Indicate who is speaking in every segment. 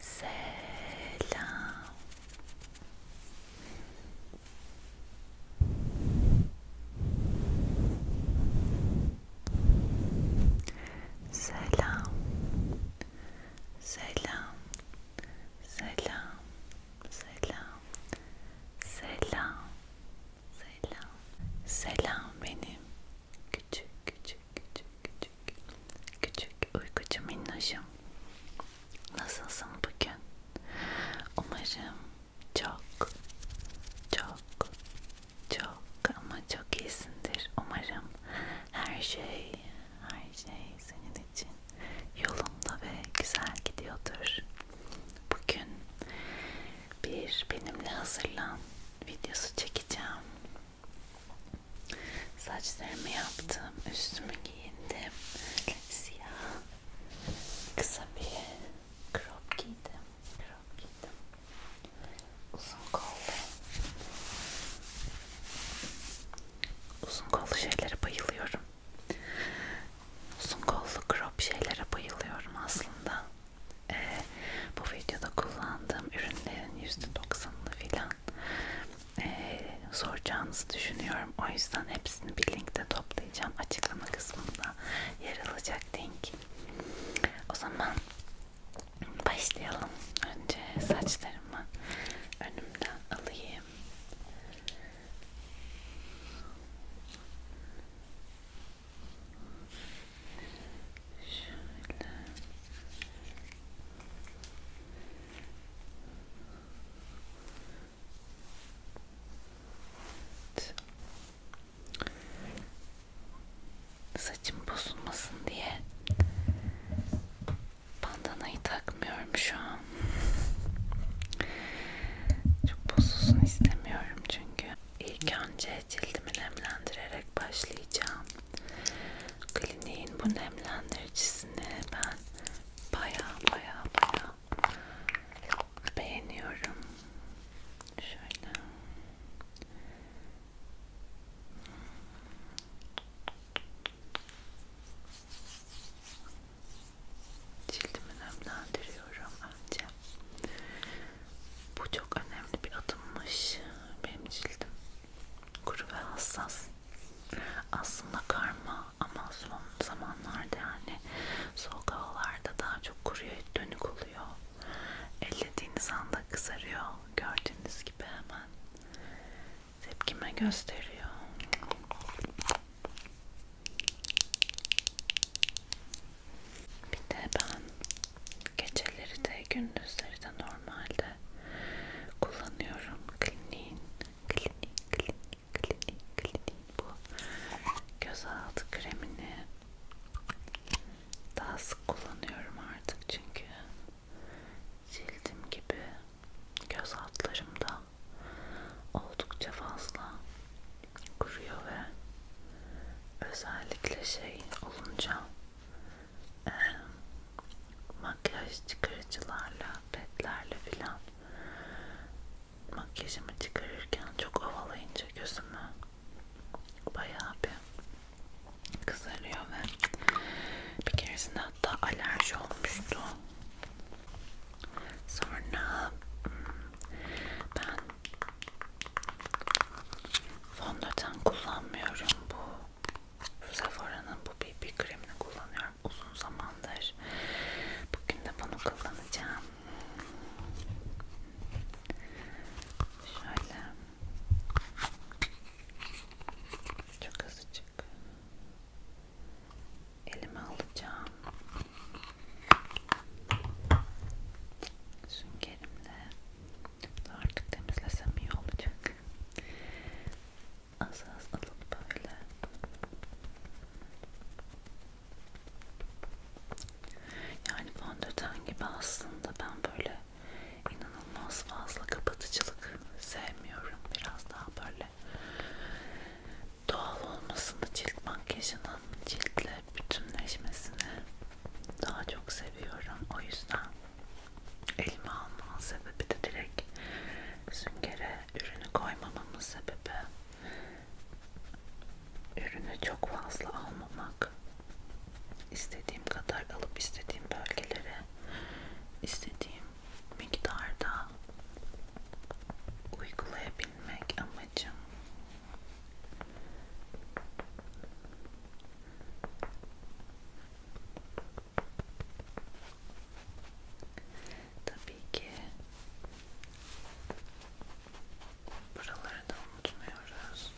Speaker 1: C'est là. C'est là. C'est là. C'est là. C'est là. C'est là. Selam. Selam benim. Küçük küçük küçük küçük. Küçük uykucu minnoşum. Nasılsın bugün? Umarım çok çok çok ama çok iyisindir. Umarım her şey her şey senin için yolunda ve güzel gidiyordur. Bugün bir benimle hazırlan videosu çekeceğim. Saçlarımı yaptım, üstümü giyindim, siyah kısa bir crop giydim, crop giydim, uzun kollu, uzun kollu şeylere bayılıyorum, uzun kollu crop şeylere bayılıyorum aslında e, bu videoda kullandığım ürünlerin %90'ını filan e, soracağınızı düşünüyorum. O yüzden hepsini bir linkte toplayacağım. Açıklama kısmında yer alacak link. O zaman başlayalım. Önce saçlarımı önümden alayım. Şöyle. Evet. Saçım bozulmasın diye bandanayı takmıyorum şu an. Çok bozulsun istemiyorum çünkü. İlk önce cildimi nemlendirerek başlayacağım. Kliniğin bu nemlendiricisini ben baya baya baya beğeniyorum. Şöyle. Cildimi nemlendiriyorum önce. Bu çok önemli bir adımmış. Benim cildim kuru ve hassas. Aslında karma ama son zamanlarda yani soğuk havalarda daha çok kuruyor, dönük oluyor. Ellediğiniz anda kızarıyor. Gördüğünüz gibi hemen tepkime gösteriyor. Bir de ben geceleri de gündüzleri de normalde kullanıyorum. Kliniğin, klinik, klinik, klinik, klinik bu gözaltı kremini daha sık kullanıyorum artık çünkü cildim gibi göz altlarımda oldukça fazla kuruyor ve özellikle şey olunca e, makyaj çıkarıcılarla petlerle filan makyajımı çıkarırken çok ovalayınca gözümü bayağı bir kızarıyor ve bir keresinde hatta alerji olmuştu sonra hmm, ben Fondöten kullanmıyorum bu. Sephora'nın bu BB kremini kullanıyorum uzun zamandır. Bugün de bunu kullanacağım. Şöyle. Çok azıcık. Elime alacağım. Süngerimle Artık temizlesem iyi olacak. Az az alıp böyle yani fondöten gibi aslında ben böyle inanılmaz fazla kapatıcılık sevmiyorum. Biraz daha böyle doğal olmasını cilt makyajının ciltle bütünleşmesini daha çok seviyorum. O yüzden elime almamın sebebi de direkt süngere ürünü koymamamın sebebi ürünü çok fazla almamak. İstediğim kadar alıp istediğim bölgelere istediğim miktarda uygulayabilmek ama amacım tabii ki buraları da unutmuyoruz.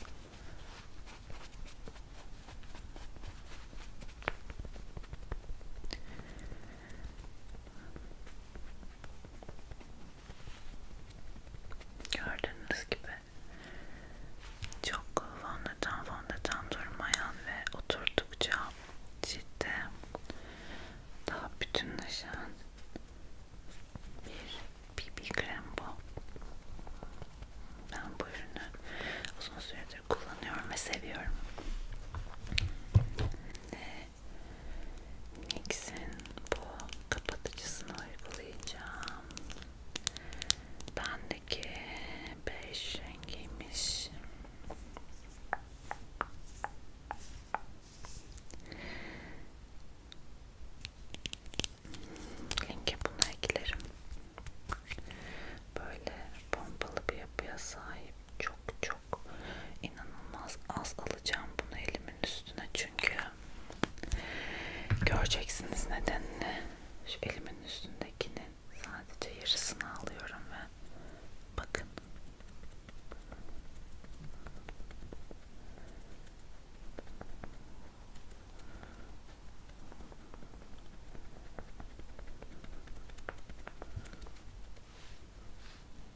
Speaker 1: Gördüğünüz gibi çok fondöten fondöten durmayan ve oturdukça cilde daha bütünleşen bir BB krem bu. Ben bu ürünü uzun süredir kullanıyorum ve seviyorum. Nix'in bu kapatıcısını uygulayacağım. Bendeki beş rengiymiş. Linke bunu eklerim. Böyle pompalı bir yapıya sahip. Çok çok inanılmaz az alacağım bunu elimin üstüne çünkü Göreceksiniz nedenini. Şu elimin üstündekinin sadece yarısını alıyorum ve bakın.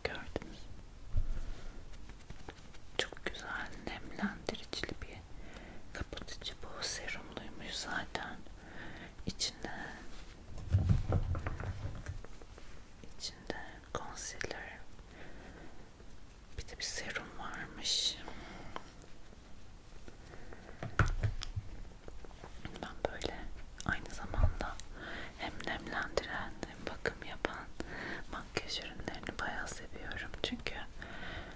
Speaker 1: Gördünüz. Çok güzel nemlendiricili bir kapatıcı bu serumluymuş zaten. İçinde içinde concealer bir de bir serum varmış. Ben böyle aynı zamanda hem nemlendiren hem bakım yapan makyaj ürünlerini bayağı seviyorum çünkü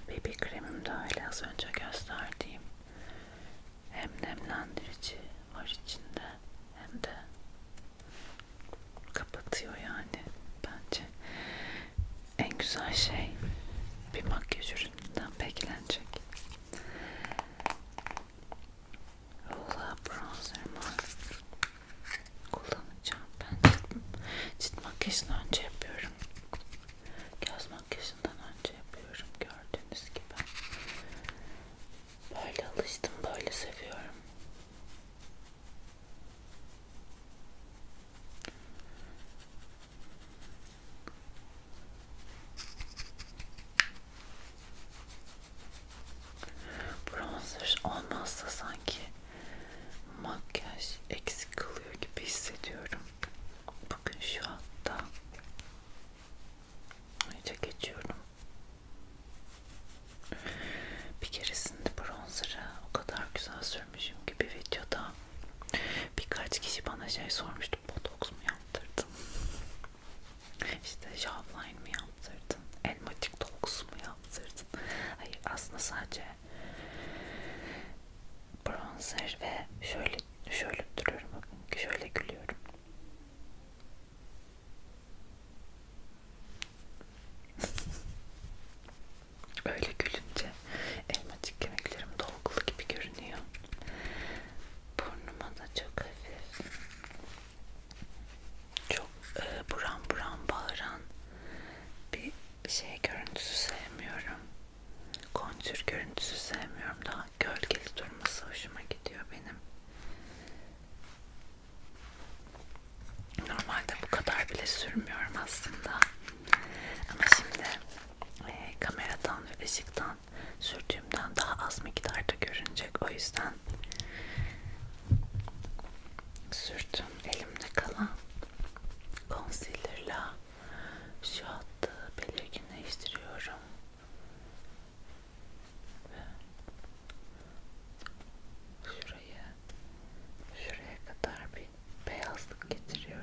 Speaker 1: BB kremim de öyle az önce gösterdiğim hem nemlendirici var içinde hem de kapatıyor yani bence en güzel şey bir makyaj ürününden beklenecek Rula bronzer var kullanacağım. Ben cilt makyajını önce yapıyorum. Göz makyajından önce yapıyorum. Gördüğünüz gibi. Böyle alıştım. Böyle seviyorum. Bronzer olmazsa sanki makyaj eksik kalıyor gibi hissediyorum. Bugün şu anda iyice geçiyorum. Bir keresinde bronzer'ı o kadar güzel sürmüşüm ki bir videoda birkaç kişi bana şey sormuştu. Botoks mu yaptırdın? İşte jawline mi yaptırdın? Elmacık dolgusu mu yaptırdın? yaptırdın. Hayır aslında sadece bronzer ve şöyle şöyle duruyorum bakın şöyle gülüyorum. Öyle gülünce elmacık kemiklerim dolgulu gibi görünüyor. Burnuma da çok hafif çok e, buram buram bağıran bir şey görüntüsü sevmiyorum. Kontür görüntüsü sevmiyorum. Daha gölgeli durması hoşuma gidiyor benim. Normalde bu kadar bile sürmüyorum aslında. Ama şimdi e, kameradan ve ışıktan sürdüğümden daha az miktarda görünecek. O yüzden sürdüm elimde kalan concealer'la şu hattı belirginleştiriyorum. Ve şurayı şuraya kadar bir beyazlık getiriyorum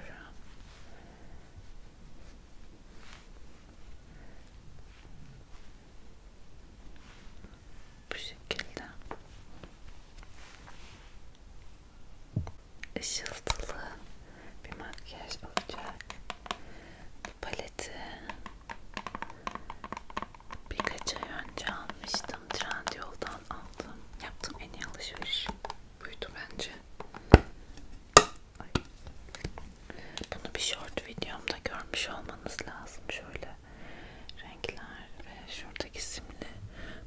Speaker 1: bu şekilde ışıltılı bir makyaj olacak bu paleti birkaç ay önce almıştım Trendyol'dan aldım yaptığım en iyi alışveriş buydu bence Ay. bunu bir short videomda görmüş olmanız lazım şöyle renkler ve şuradaki simli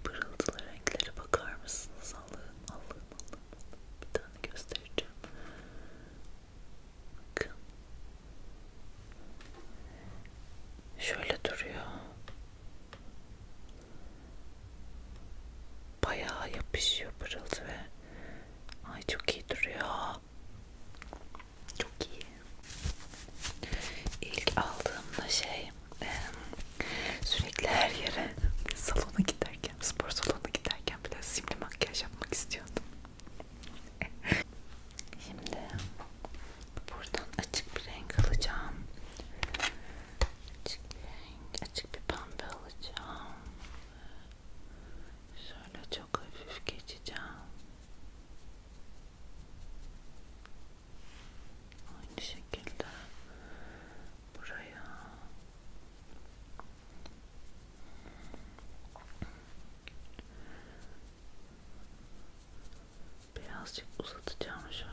Speaker 1: pırıltılı renklere bakar mısınız? Allah'ım Allah'ım Allah'ım bir tane göstereceğim. Bakın. Şöyle duruyor. Bayağı yapışıyor pırıltı ve ay çok iyi duruyor. Çok iyi. İlk aldığımda şey sürekli her yere salona giderken, spor salonuna giderken bile simli makyaj yapmak istiyordum. Şimdi buradan açık bir renk alacağım. Açık bir renk, açık bir pembe alacağım. Şöyle çok hafif geçeceğim aynı şekilde buraya birazcık uzatacağım şöyle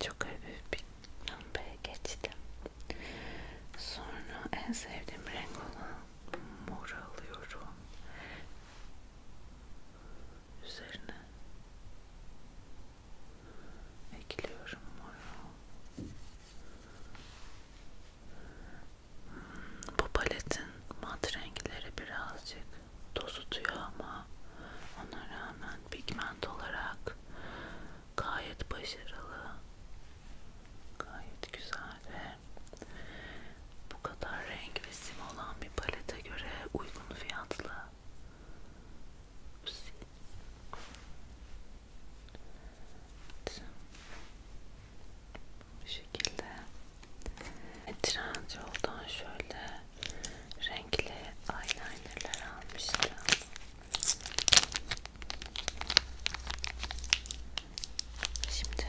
Speaker 1: çok hafif bir pembeye geçtim Sonra en sevdiğim renk olan mor alıyorum. Üzerine ekliyorum moru. Hmm, bu paletin mat renkleri birazcık tozutuyor ama ona rağmen pigment olarak gayet başarılı gayet güzel ve bu kadar renk ve sim olan bir palete göre uygun fiyatlı bu şekilde Trendyol'dan şöyle renkli eyelinerler almıştım Şimdi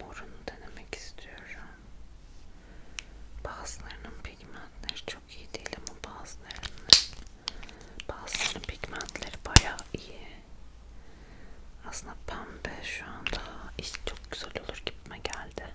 Speaker 1: morunu denemek istiyorum. Bazılarının pigmentleri çok iyi değil ama bazılarının bazılarının pigmentleri bayağı iyi. Aslında pembe şu anda iş çok güzel olur gibime geldi.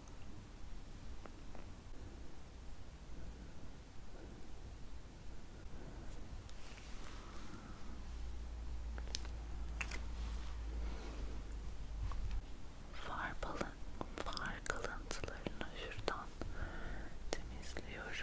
Speaker 1: Far, balın, far kalıntılarını şuradan temizliyorum.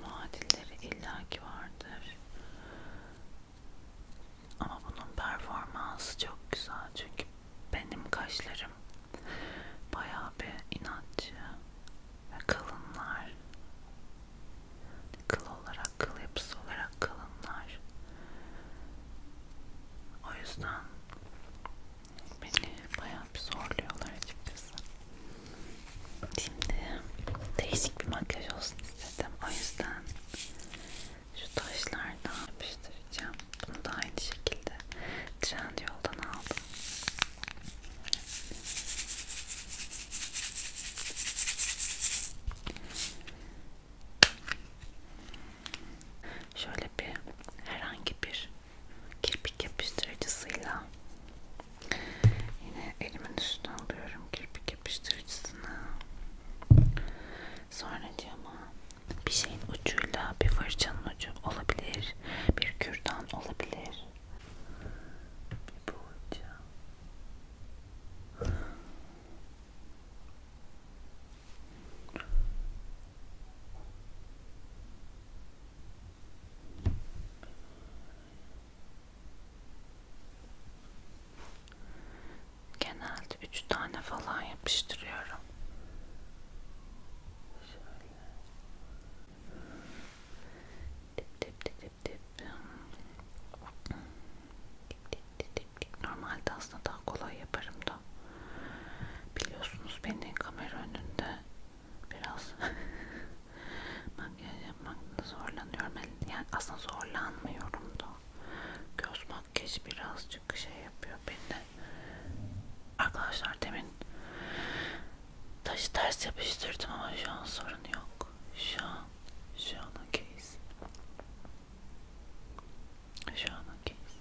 Speaker 1: Muadilleri illaki vardır. Ama bunun performansı çok güzel çünkü benim kaşlarım bayağı bir inatçı ve kalınlar. Kıl olarak, kıl yapısı olarak kalınlar. O yüzden Beni bayağı bir zorluyorlar açıkçası. Şimdi değişik bir makyaj olsun istedim. O yüzden şu taşlardan yapıştıracağım. Bunu da aynı şekilde Trendyol'dan aldım. Şöyle bir herhangi bir kirpik yapıştırıcısıyla yine elimin üstüne alıyorum kirpik yapıştırıcısını sonra cama bir şeyin ucuyla bir fırçanın ucu olabilir bir kürdan olabilir bir boğaca Genelde üç tane falan yapıştırıyorum. Şöyle. Dip dip dip dip dip. Dip dip dip dip dip. Normalde aslında daha kolay yaparım da. Biliyorsunuz beni kamera önünde biraz makyaj yapmakta zorlanıyorum. Yani aslında zorlanmıyorum da. Göz makyajı birazcık şey yapıyor beni. Arkadaşlar demin taşı ters yapıştırdım ama şu an sorun yok. Şu an, şu an okeyiz. Şu an okeyiz.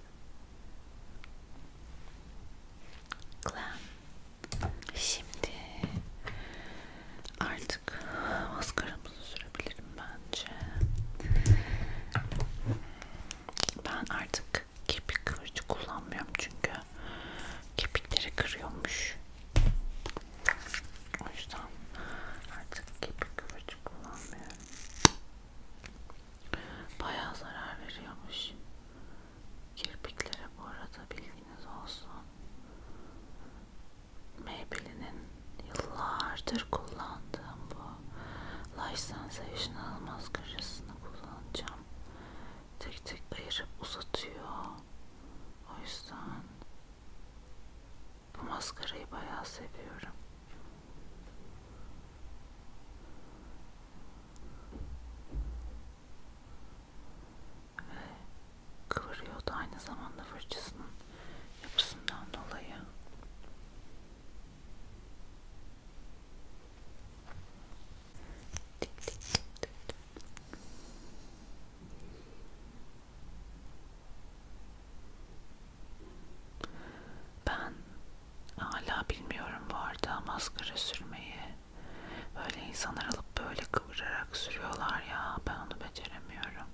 Speaker 1: Glam. Şimdi artık maskaramızı sürebilirim bence. Ben artık kepik kırıcı kullanmıyorum çünkü kepikleri kırıyormuş. O yüzden artık kepik kırıcı kullanmıyorum. Bayağı zarar veriyormuş. Kirpiklere bu arada bilginiz olsun. Maybelline'in yıllardır kullandığım bu Lash Sensation maskarasını kullanacağım. Tek tek ayırıp uzatıyor. O yüzden bu maskarayı bayağı seviyorum ve kıvırıyordu aynı zamanda fırçasının yapısından dolayı. Dik, dik, dik, dik. Ben Hala bilmiyorum bu arada maskara sürmeyi. Böyle insanlar alıp böyle kıvırarak sürüyorlar ya. Ben onu beceremiyorum.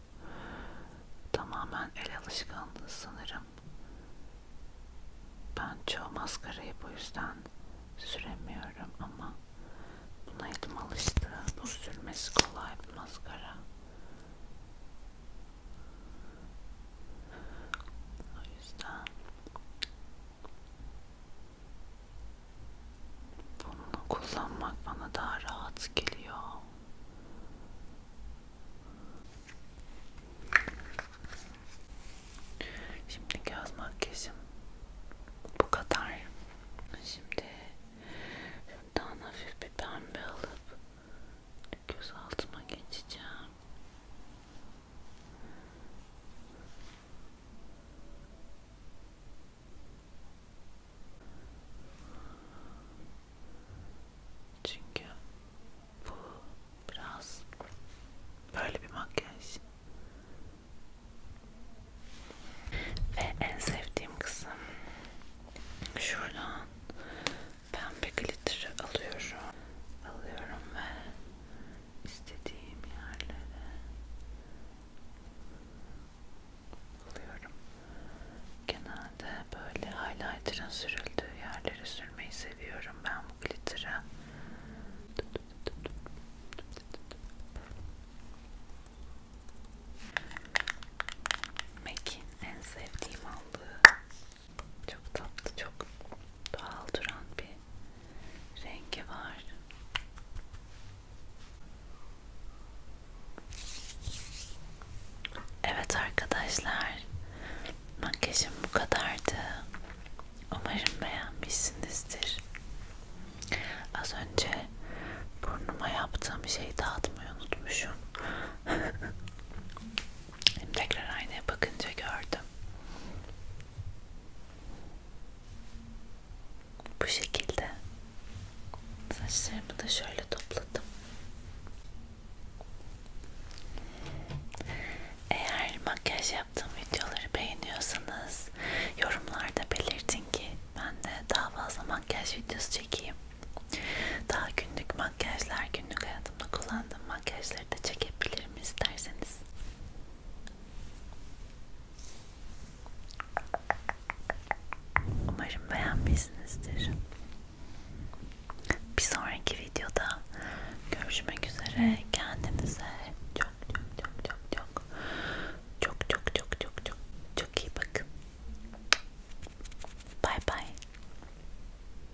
Speaker 1: Tamamen el alışkanlığı sanırım. Ben çoğu maskarayı bu yüzden süremiyorum ama buna elim alıştı. Bu sürmesi kolay bir maskara. O yüzden bunu kullanmak bana daha rahat geliyor. Şimdi göz makyajım bu kadar. Şimdi şuradan hafif bir pembe alıp göz altıma geçeceğim. Çünkü bu biraz böyle bir makyaj. Ve en sevdiğim kısım şuradan pembe glitter'ı alıyorum. Alıyorum ve istediğim yerlere buluyorum. Genelde böyle highlighter'ın sürüldüğü yerleri sürmeyi seviyorum. Ben bu glitter'ı MAC'in en sevdiğim aldığı çok tatlı, çok doğal duran bir rengi var. Evet arkadaşlar, makyajım bu kadardı. Umarım beğenmişsinizdir. Az önce burnuma yaptığım şeyi dağıtmayı unutmuşum. Tekrar aynaya bakınca gördüm. Bu şekilde saçlarımı da şöyle topladım. Eğer makyaj yaptığım videoları beğeniyorsanız yorumlarda belirtin ki ben de daha fazla makyaj videosu çekeyim. Daha günlük makyajlar, günlük hayatımda kullandığım makyajlar videoları da çekebilirim isterseniz. Umarım beğenmişsinizdir. Bir sonraki videoda görüşmek üzere. Kendinize çok çok çok çok çok çok çok çok çok çok çok iyi bakın. Bye bye.